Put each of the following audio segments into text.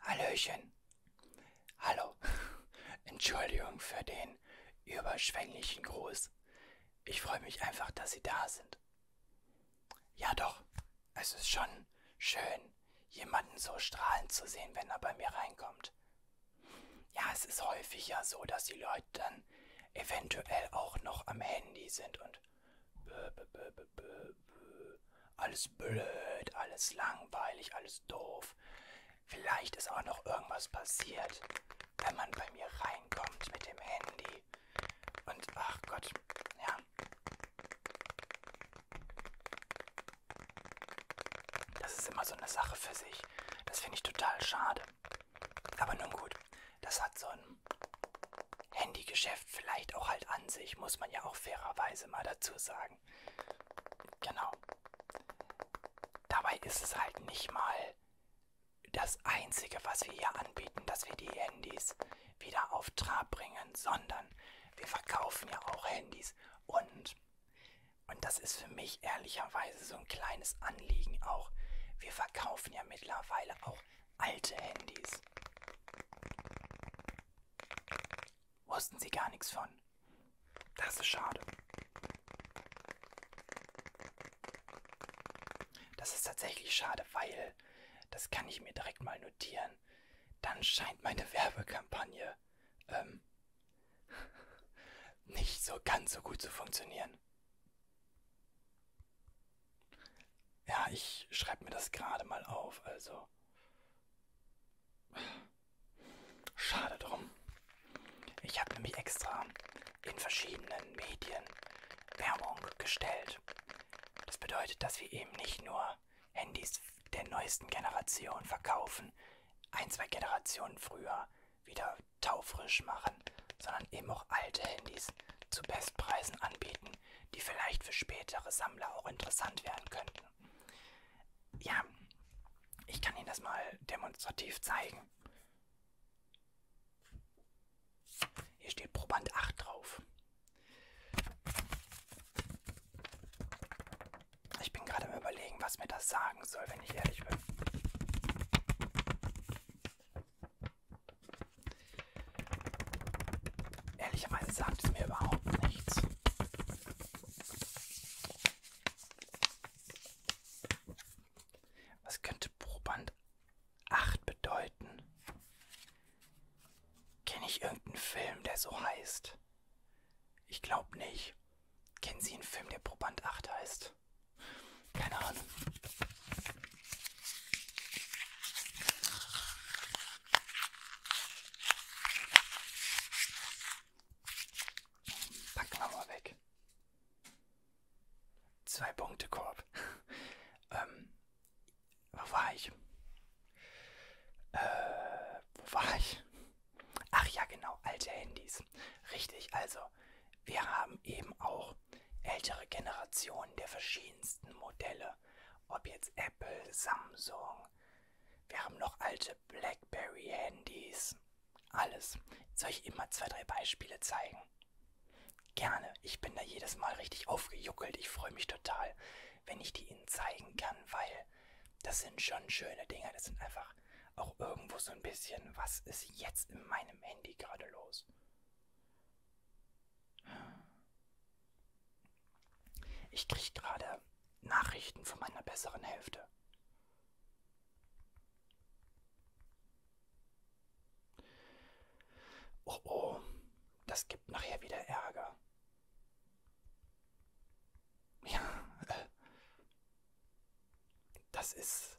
Hallöchen. Hallo. Entschuldigung für den überschwänglichen Gruß. Ich freue mich einfach, dass Sie da sind. Ja doch, es ist schon schön, jemanden so strahlend zu sehen, wenn er bei mir reinkommt. Ja, es ist häufig ja so, dass die Leute dann eventuell auch noch am Handy sind und bö, bö, bö, bö, bö äh, alles blöd, alles langweilig, alles doof. Vielleicht ist auch noch irgendwas passiert, wenn man bei mir reinkommt mit dem Handy. Und ach Gott, ja. Das ist immer so eine Sache für sich. Das finde ich total schade. Aber nun gut, das hat so ein Handygeschäft vielleicht auch halt an sich, muss man ja auch fairerweise mal dazu sagen sagen. Genau. Dabei ist es halt nicht mal das Einzige, was wir hier anbieten, dass wir die Handys wieder auf Trab bringen, sondern wir verkaufen ja auch Handys. Und, und das ist für mich ehrlicherweise so ein kleines Anliegen auch, wir verkaufen ja mittlerweile auch alte Handys wussten sie gar nichts von. Das ist schade. Das ist tatsächlich schade, weil, das kann ich mir direkt mal notieren, dann scheint meine Werbekampagne ähm, nicht so ganz so gut zu funktionieren. Ja, ich schreibe mir das gerade mal auf, also Schade drum. Ich habe nämlich extra in verschiedenen Medien Werbung gestellt. Das bedeutet, dass wir eben nicht nur Handys der neuesten Generation verkaufen, ein, zwei Generationen früher wieder taufrisch machen, sondern eben auch alte Handys zu Bestpreisen anbieten die vielleicht für spätere Sammler auch interessant werden könnten. Ja, ich kann Ihnen das mal demonstrativ zeigen. Hier steht Proband 8 drauf. Ich bin gerade am Überlegen, was mir das sagen soll, wenn ich ehrlich bin. Ehrlicherweise sagt es mir überhaupt nichts. Was könnte Proband 8 bedeuten? Kenne ich irgendeinen Film, der so heißt? Ich glaube nicht. Kennen Sie einen Film, der Proband 8 heißt? Keine Ahnung. Packen wir mal weg. Zwei Punkte Korb. ähm, wo war ich? Äh, wo war ich? Ach ja, genau, alte Handys. Richtig, also wir haben eben auch ältere Generationen der verschiedensten Modelle. Ob jetzt Apple, Samsung. Wir haben noch alte Blackberry-Handys. Alles. Soll ich immer zwei, drei Beispiele zeigen? Gerne. Ich bin da jedes Mal richtig aufgejuckelt. Ich freue mich total, wenn ich die Ihnen zeigen kann, weil das sind schon schöne Dinge. Das sind einfach auch irgendwo so ein bisschen, was ist jetzt in meinem Handy gerade los? Ich kriege gerade Nachrichten von meiner besseren Hälfte. Oh oh, das gibt nachher wieder Ärger. Ja, äh, das ist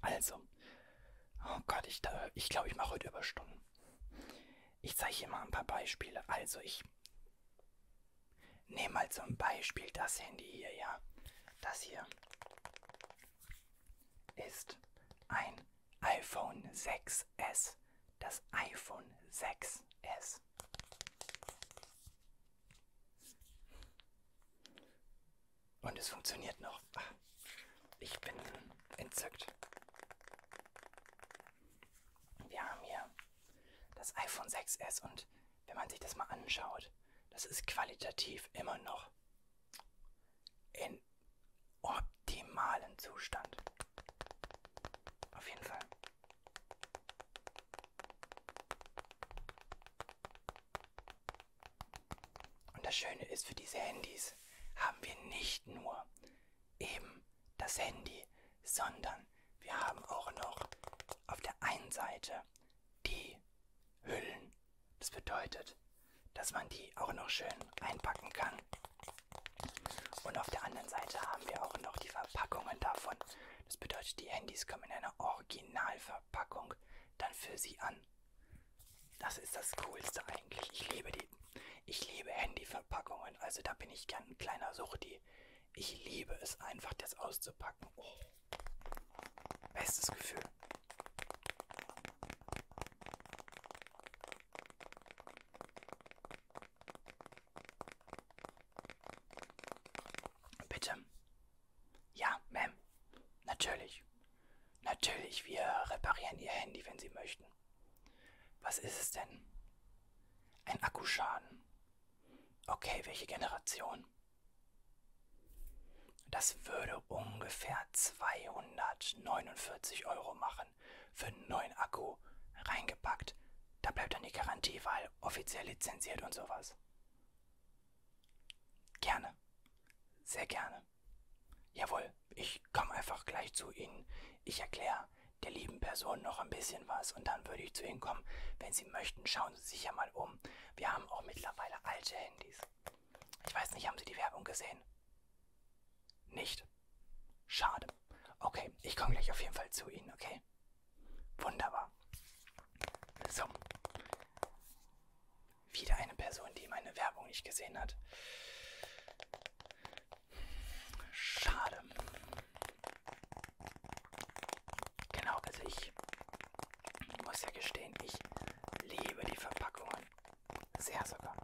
Also, oh Gott, ich glaube, ich, glaub, ich mache heute Überstunden. Ich zeige hier mal ein paar Beispiele. Also, ich nehme mal zum Beispiel das Handy hier, ja. Das hier ist ein iPhone 6S. Das iPhone 6S. Und es funktioniert noch. Ich bin entzückt. Wir haben hier das iPhone 6S und wenn man sich das mal anschaut, das ist qualitativ immer noch in optimalen Zustand. Auf jeden Fall. Und das Schöne ist, für diese Handys haben wir nicht nur eben das Handy, sondern wir haben auch noch auf der einen Seite die Hüllen. Das bedeutet, dass man die auch noch schön einpacken kann. Und auf der anderen Seite haben wir auch noch die Verpackungen davon. Das bedeutet, die Handys kommen in einer Originalverpackung dann für sie an. Das ist das Coolste eigentlich. Ich liebe die. Ich liebe Handyverpackungen. Also da bin ich gern ein kleiner Suchti. Ich liebe es einfach, das auszupacken. Oh. Bestes Gefühl. Bitte. Ja, Ma'am. Natürlich. Natürlich, wir reparieren Ihr Handy, wenn Sie möchten. Was ist es denn? Ein Akkuschaden. Okay, welche Generation? Das würde ungefähr 249 Euro machen für einen neuen Akku reingepackt. Da bleibt dann die Garantie, weil offiziell lizenziert und sowas. Gerne. Sehr gerne. Jawohl, ich komme einfach gleich zu Ihnen. Ich erkläre der lieben Person noch ein bisschen was und dann würde ich zu Ihnen kommen. Wenn Sie möchten, schauen Sie sich ja mal um. Wir haben auch mittlerweile alte Handys. Ich weiß nicht, haben Sie die Werbung gesehen? Nicht. Schade. Okay, ich komme gleich auf jeden Fall zu Ihnen, okay? Wunderbar. So. Wieder eine Person, die meine Werbung nicht gesehen hat. Schade. Genau, also ich muss ja gestehen, ich liebe die Verpackungen. Sehr sogar.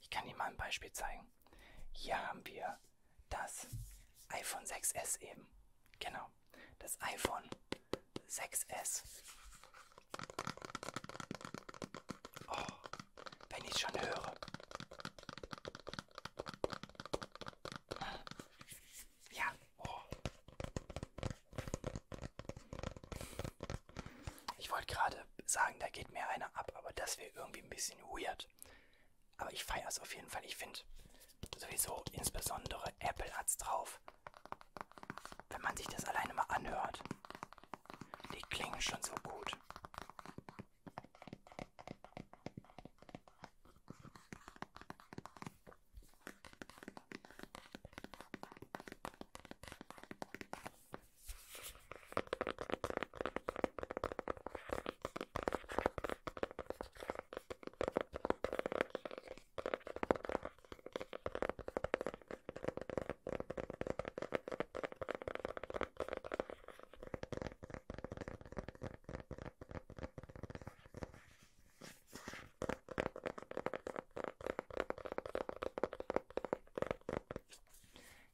Ich kann Ihnen mal ein Beispiel zeigen. Hier haben wir das iPhone 6S eben. Genau das iPhone 6S. Oh, wenn ich schon höre. Ja, oh. Ich wollte gerade sagen, da geht mir einer ab, aber das wäre irgendwie ein bisschen weird. Aber ich feiere es auf jeden Fall. Ich finde, sowieso insbesondere Apple hat's drauf. Wenn man sich das alleine mal anhört, die klingen schon so gut.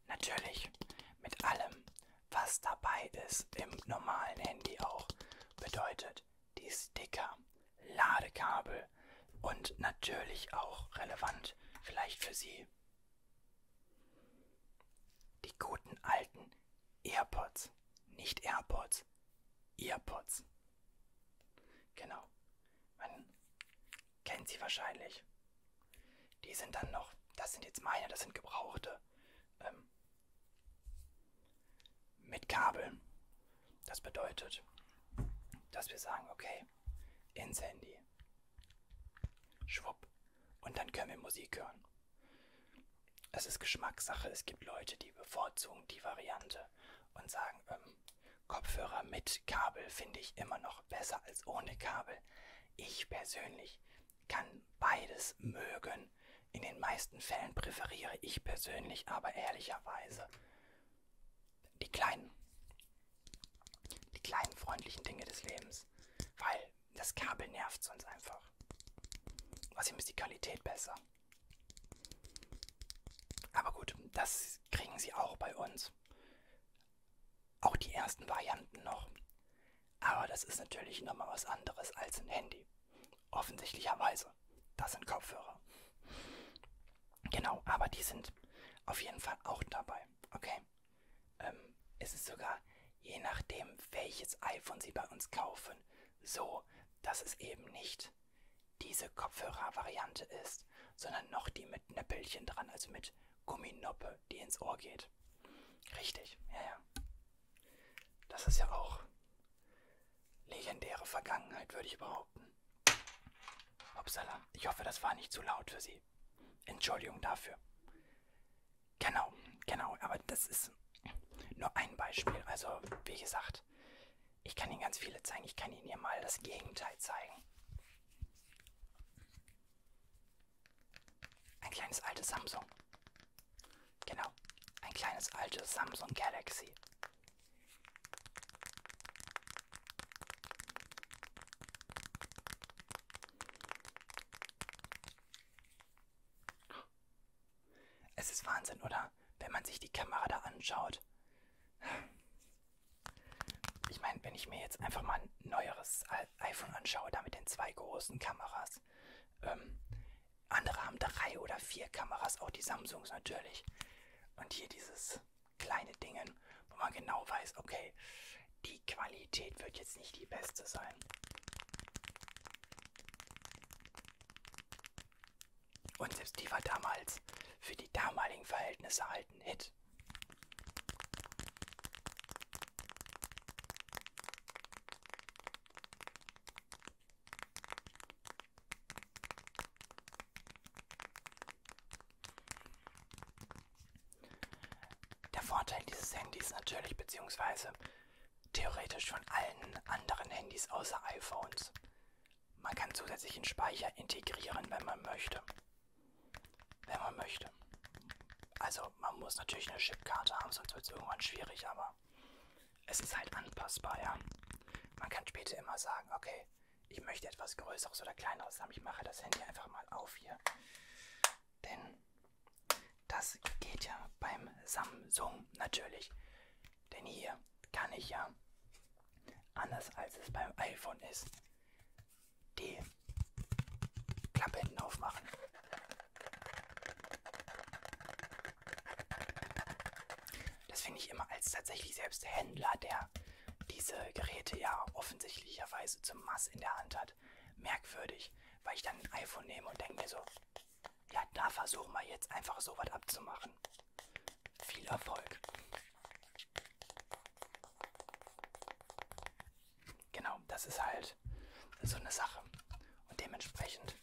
Natürlich mit allem, was dabei ist im normalen Handy auch, bedeutet hat, die Sticker, Ladekabel und natürlich auch relevant vielleicht für Sie die guten alten AirPods, nicht AirPods, AirPods. Genau, man kennt sie wahrscheinlich. Die sind dann noch, das sind jetzt meine, das sind gebrauchte. Ähm, mit Kabel. Das bedeutet, dass wir sagen, okay, ins Handy. Schwupp. Und dann können wir Musik hören. Es ist Geschmackssache. Es gibt Leute, die bevorzugen die Variante und sagen, ähm, Kopfhörer mit Kabel finde ich immer noch besser als ohne Kabel. Ich persönlich kann beides mögen sein. In den meisten Fällen präferiere ich persönlich aber ehrlicherweise die kleinen, die kleinen freundlichen Dinge des Lebens, weil das Kabel nervt sonst einfach. Außerdem ist die Qualität besser. Aber gut, das kriegen sie auch bei uns. Auch die ersten Varianten noch. Aber das ist natürlich nochmal was anderes als ein Handy. Offensichtlicherweise. Das sind Kopfhörer. Genau, aber die sind auf jeden Fall auch dabei. Okay. Ähm, es ist sogar, je nachdem, welches iPhone Sie bei uns kaufen, so, dass es eben nicht diese Kopfhörer-Variante ist, sondern noch die mit Nöppelchen dran, also mit Gumminoppe, die ins Ohr geht. Richtig, ja, ja. Das ist ja auch legendäre Vergangenheit, würde ich behaupten. Upsala, ich hoffe, das war nicht zu laut für Sie. Entschuldigung dafür. Genau, genau, aber das ist nur ein Beispiel. Also, wie gesagt, ich kann Ihnen ganz viele zeigen. Ich kann Ihnen hier mal das Gegenteil zeigen. Ein kleines altes Samsung. Genau. Ein kleines altes Samsung Galaxy. Es ist Wahnsinn, oder? Wenn man sich die Kamera da anschaut. Ich meine, wenn ich mir jetzt einfach mal ein neueres iPhone anschaue, da mit den zwei großen Kameras, ähm, andere haben drei oder vier Kameras, auch die Samsungs natürlich. Und hier dieses kleine Dingen, wo man genau weiß, okay, die Qualität wird jetzt nicht die beste sein. Und selbst die war damals für die damaligen Verhältnisse halt ein Hit. Der Vorteil dieses Handys natürlich, beziehungsweise theoretisch von allen anderen Handys außer iPhones. Man kann zusätzlichen Speicher integrieren, wenn man möchte. Wenn man möchte. Also man muss natürlich eine Chipkarte haben, sonst wird es irgendwann schwierig, aber es ist halt anpassbar, ja. Man kann später immer sagen, okay, ich möchte etwas Größeres oder Kleineres haben. Ich mache das Handy einfach mal auf hier. Denn das geht ja beim Samsung natürlich. Denn hier kann ich ja, anders als es beim iPhone ist, die Klappe hinten aufmachen. Das finde ich immer als tatsächlich selbst Händler, der diese Geräte ja offensichtlicherweise zum Mass in der Hand hat, merkwürdig, weil ich dann ein iPhone nehme und denke mir so, ja, da versuchen wir jetzt einfach so was abzumachen. Viel Erfolg. Genau, das ist halt so eine Sache. Und dementsprechend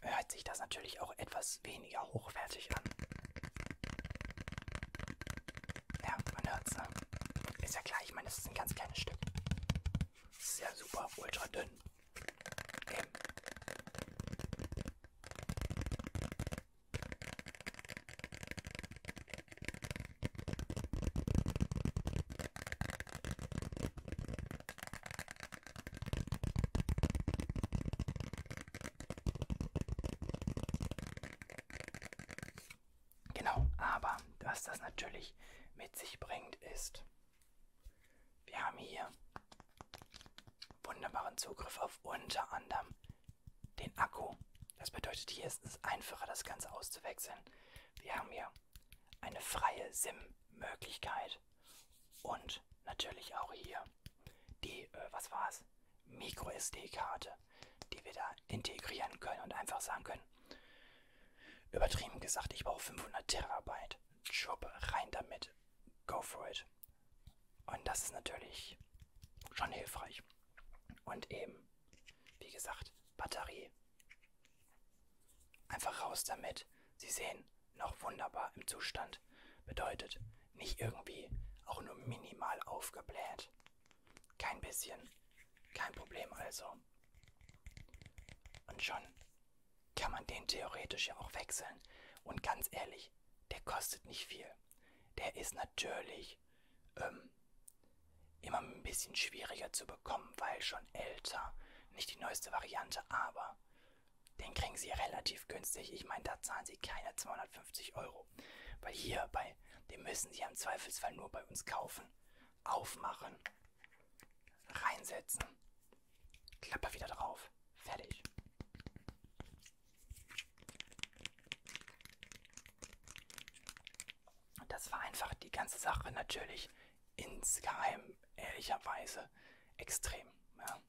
hört sich das natürlich auch etwas weniger hochwertig an. Ja, man hört's, ne? Ist ja klar, ich meine, das ist ein ganz kleines Stück. Das ist ja super ultra dünn. Eben. Genau, aber was das natürlich mit sich bringt, ist, wir haben hier wunderbaren Zugriff auf unter anderem den Akku. Das bedeutet, hier ist es einfacher, das Ganze auszuwechseln. Wir haben hier eine freie SIM-Möglichkeit und natürlich auch hier die, äh, was war es, Micro-SD-Karte, die wir da integrieren können und einfach sagen können, übertrieben gesagt, ich brauche 500 Terabyte, Job rein damit, go for it. Und das ist natürlich schon hilfreich. Und eben wie gesagt, Batterie. Einfach raus damit. Sie sehen, noch wunderbar im Zustand. Bedeutet, nicht irgendwie, auch nur minimal aufgebläht. Kein bisschen. Kein Problem also. Und schon kann man den theoretisch ja auch wechseln. Und ganz ehrlich, der kostet nicht viel. Der ist natürlich tatsächlich ähm, immer ein bisschen schwieriger zu bekommen, weil schon älter. Nicht die neueste Variante, aber den kriegen sie relativ günstig. Ich meine, da zahlen sie keine 250 Euro. Weil hier bei dem müssen sie im Zweifelsfall nur bei uns kaufen, aufmachen, reinsetzen, Klappe wieder drauf, fertig das vereinfacht die ganze Sache natürlich insgeheim ehrlicherweise extrem. Ja.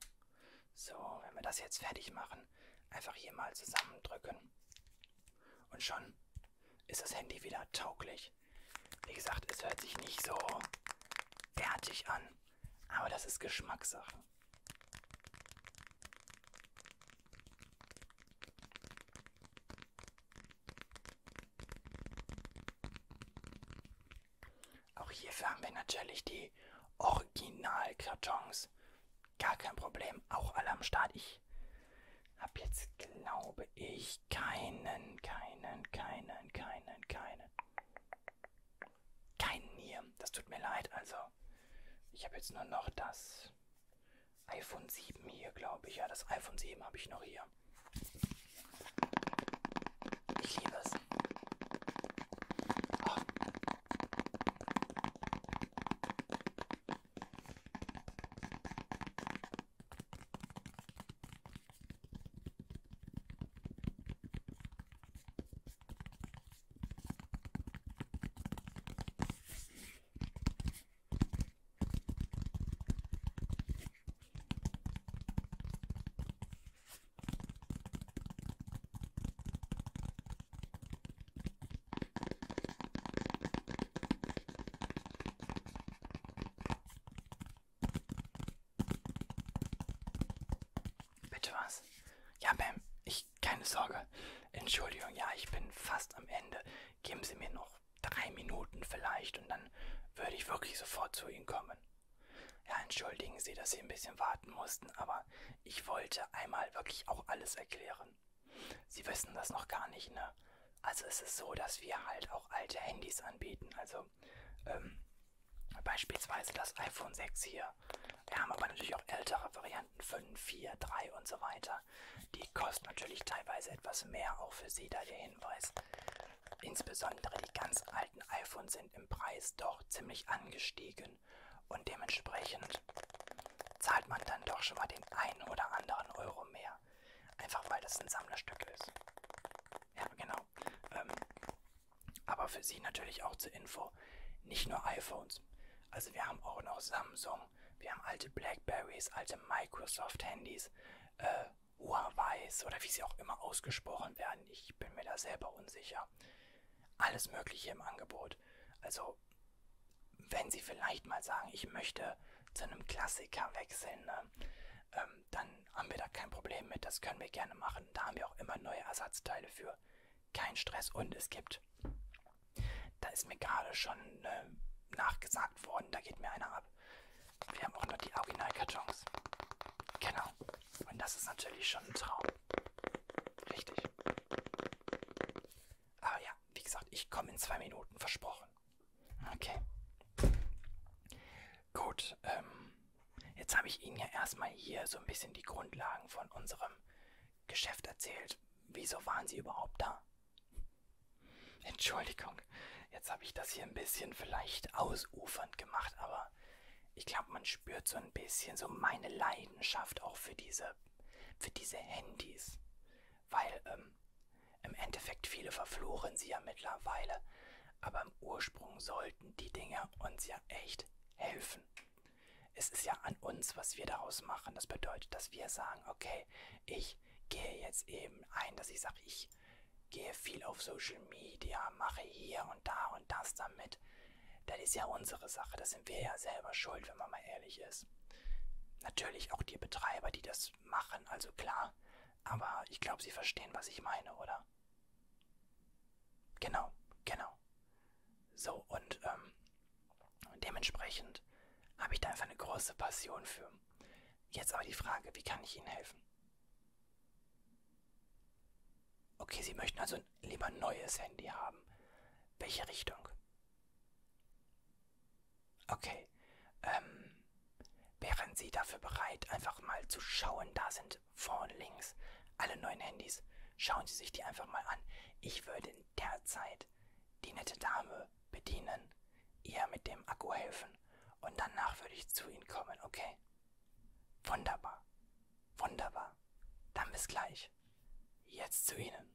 So, wenn wir das jetzt fertig machen, einfach hier mal zusammendrücken. Und schon ist das Handy wieder tauglich. Wie gesagt, es hört sich nicht so bärtig an, aber das ist Geschmackssache. Auch hierfür haben wir natürlich die Originalkartons. Gar kein Problem, auch alle am Start. Ich habe jetzt, glaube ich, keinen, keinen, keinen, keinen, keinen. Keinen hier. Das tut mir leid, also ich habe jetzt nur noch das iPhone 7 hier, glaube ich. Ja, das iPhone 7 habe ich noch hier. Ich liebe es. Oh. Bitte was? Ja, Bam, ich ich, keine Sorge. Entschuldigung, ja, ich bin fast am Ende. Geben Sie mir noch drei Minuten vielleicht und dann würde ich wirklich sofort zu Ihnen kommen. Ja, entschuldigen Sie, dass Sie ein bisschen warten mussten, aber ich wollte einmal wirklich auch alles erklären. Sie wissen das noch gar nicht, ne? Also es ist so, dass wir halt auch alte Handys anbieten. Also ähm, beispielsweise das iPhone 6 hier wir haben aber natürlich auch ältere Varianten, 5, 4, 3 und so weiter. Die kosten natürlich teilweise etwas mehr, auch für Sie da der Hinweis. Insbesondere die ganz alten iPhones sind im Preis doch ziemlich angestiegen und dementsprechend zahlt man dann doch schon mal den einen oder anderen Euro mehr. Einfach weil das ein Sammlerstück ist. Ja, genau. Ähm, aber für Sie natürlich auch zur Info, nicht nur iPhones. Also wir haben auch noch Samsung, wir haben alte Blackberries, alte Microsoft-Handys, äh, Huawei's oder wie sie auch immer ausgesprochen werden. Ich bin mir da selber unsicher. Alles Mögliche im Angebot. Also wenn Sie vielleicht mal sagen, ich möchte zu einem Klassiker wechseln, ne? ähm, dann haben wir da kein Problem mit. Das können wir gerne machen. Da haben wir auch immer neue Ersatzteile für kein Stress und es gibt, da ist mir gerade schon äh, nachgesagt worden, da geht mir einer ab. Wir haben auch noch die Originalkartons. Genau. Und das ist natürlich schon ein Traum. Richtig. Aber ja, wie gesagt, ich komme in zwei Minuten, versprochen. Okay. Gut, ähm, jetzt habe ich Ihnen ja erstmal hier so ein bisschen die Grundlagen von unserem Geschäft erzählt. Wieso waren Sie überhaupt da? Entschuldigung, jetzt habe ich das hier ein bisschen vielleicht ausufernd gemacht, aber ich glaube, man spürt so ein bisschen so meine Leidenschaft auch für diese, für diese Handys. Weil ähm, im Endeffekt viele verfluchen sie ja mittlerweile, aber im Ursprung sollten die Dinge uns ja echt helfen. Es ist ja an uns, was wir daraus machen. Das bedeutet, dass wir sagen, okay, ich gehe jetzt eben ein, dass ich sage, ich gehe viel auf Social Media, mache hier und da und das damit. Das ist ja unsere Sache. Das sind wir ja selber schuld, wenn man mal ehrlich ist. Natürlich auch die Betreiber, die das machen, also klar. Aber ich glaube, sie verstehen, was ich meine, oder? Genau, genau. So, und ähm, dementsprechend habe ich da einfach eine große Passion für. Jetzt aber die Frage, wie kann ich Ihnen helfen? Okay, Sie möchten also lieber ein neues Handy haben. Welche Richtung? Okay. Ähm, wären Sie dafür bereit, einfach mal zu schauen? Da sind vorne links alle neuen Handys. Schauen Sie sich die einfach mal an. Ich würde in der Zeit die nette Dame bedienen, ihr mit dem Akku helfen und danach würde ich zu Ihnen kommen, okay? Wunderbar. Wunderbar. Dann bis gleich. Jetzt zu Ihnen.